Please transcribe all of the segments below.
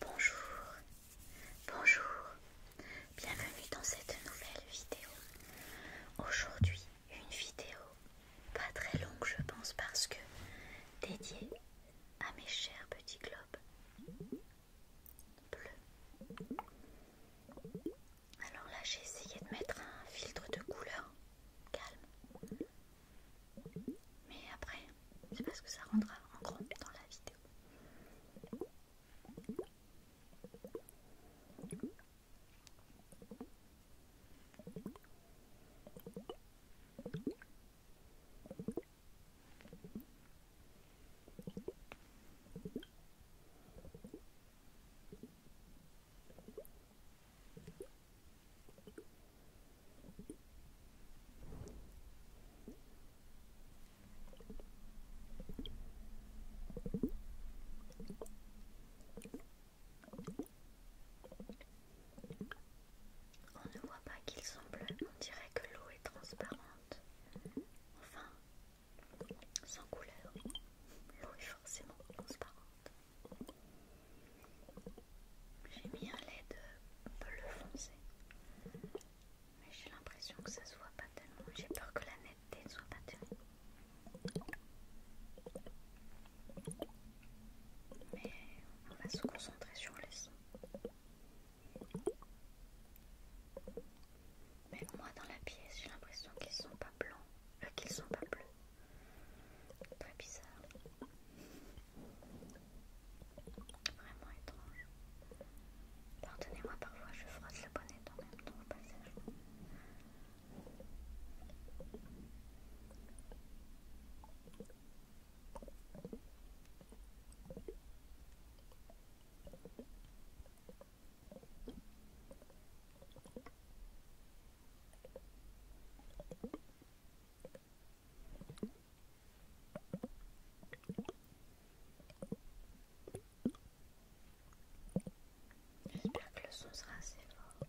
Bonjour, bonjour, bienvenue dans cette nouvelle vidéo. Aujourd'hui, une vidéo pas très longue, je pense, parce que dédiée à mes chers petits globes bleus. Alors là, j'ai essayé de mettre un filtre de couleur calme. Mais après, je sais pas ce que ça rendra en gros dans la vidéo. On ne voit pas qu'ils sont bleus, on dirait que l'eau est transparente. Enfin, sans couleur, l'eau est forcément transparente. J'ai mis un LED bleu foncé, mais j'ai l'impression que ça se voit pas tellement. J'ai peur que la netteté ne soit pas tellement. Mais on va se concentrer sur les sons. Mais moi dans la pièce j'ai l'impression qu'ils sont pas blancs, euh, qu'ils sont pas bleus. Très bizarre. Vraiment étrange. Pardonnez-moi parfois je frotte le bonnet en même temps au passage. J'espère que le son sera assez fort.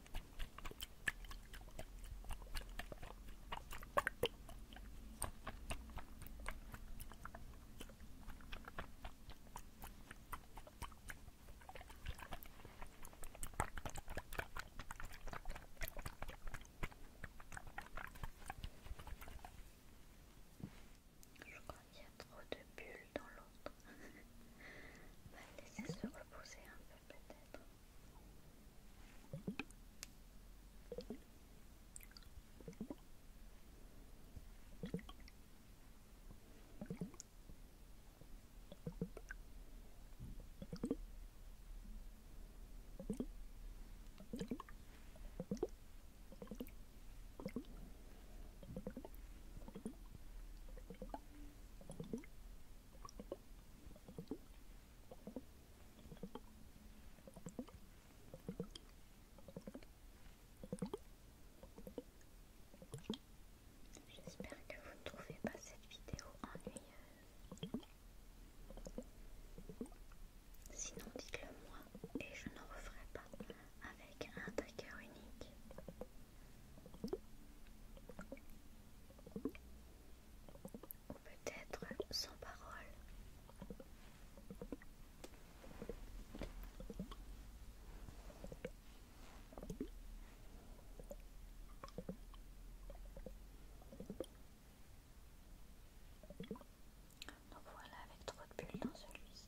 Je crois qu'il y a trop de bulles dans l'autre. Laissez On va se reposer un peu peut-être. J'espère que vous ne trouvez pas cette vidéo ennuyeuse. Sinon, dites-le moi et je n'en referai pas avec un taqueur unique. Peut-être sans parole. Donc voilà, avec trop de bulles dans celui-ci.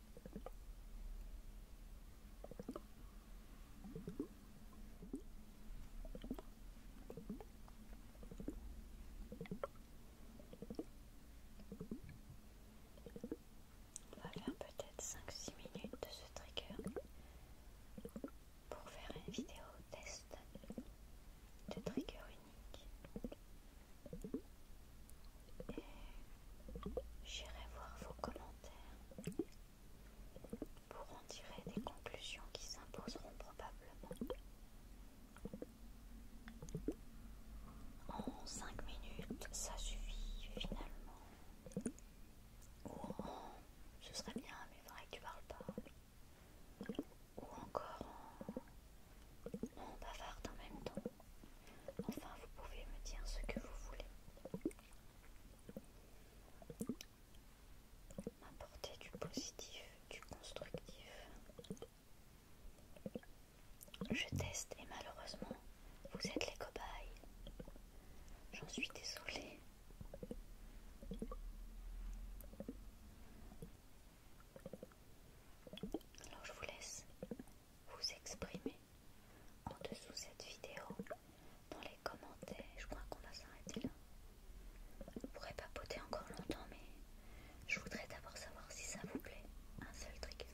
On va faire peut-être 5-6 minutes de ce trigger pour faire une vidéo test de trigger unique. Et j'irai voir vos commentaires pour en tirer des conclusions qui s'imposeront probablement. En 5 minutes, ça suffit finalement. Ou en ce serait bien, mais que tu parles pas. Ou encore en on bavarde en même temps. Enfin, vous pouvez me dire ce que vous voulez. M'apporter du positif, du constructif. Je teste et malheureusement, vous êtes les cobayes. J'en suis désolée. Alors je vous laisse vous exprimer en dessous de cette vidéo, dans les commentaires. Je crois qu'on va s'arrêter là. On pourrait papoter encore longtemps, mais je voudrais d'abord savoir si ça vous plaît. Un seul truc.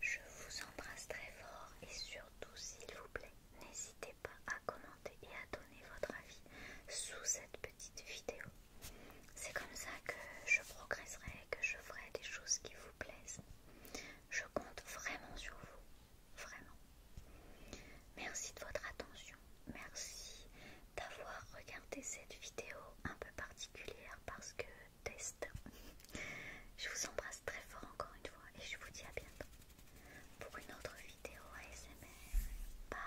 Je vous embrasse très fort et surtout, s'il vous plaît, n'hésitez pas à commenter et à donner votre avis sous cette petite vidéo. C'est comme ça que je progresserai, que je ferai des choses qui vous plaisent. Je compte vraiment sur vous, vraiment. Merci de votre attention, merci d'avoir regardé cette vidéo un peu particulière parce que test. Je vous embrasse très fort encore une fois et je vous dis à bientôt pour une autre vidéo ASMR. Bye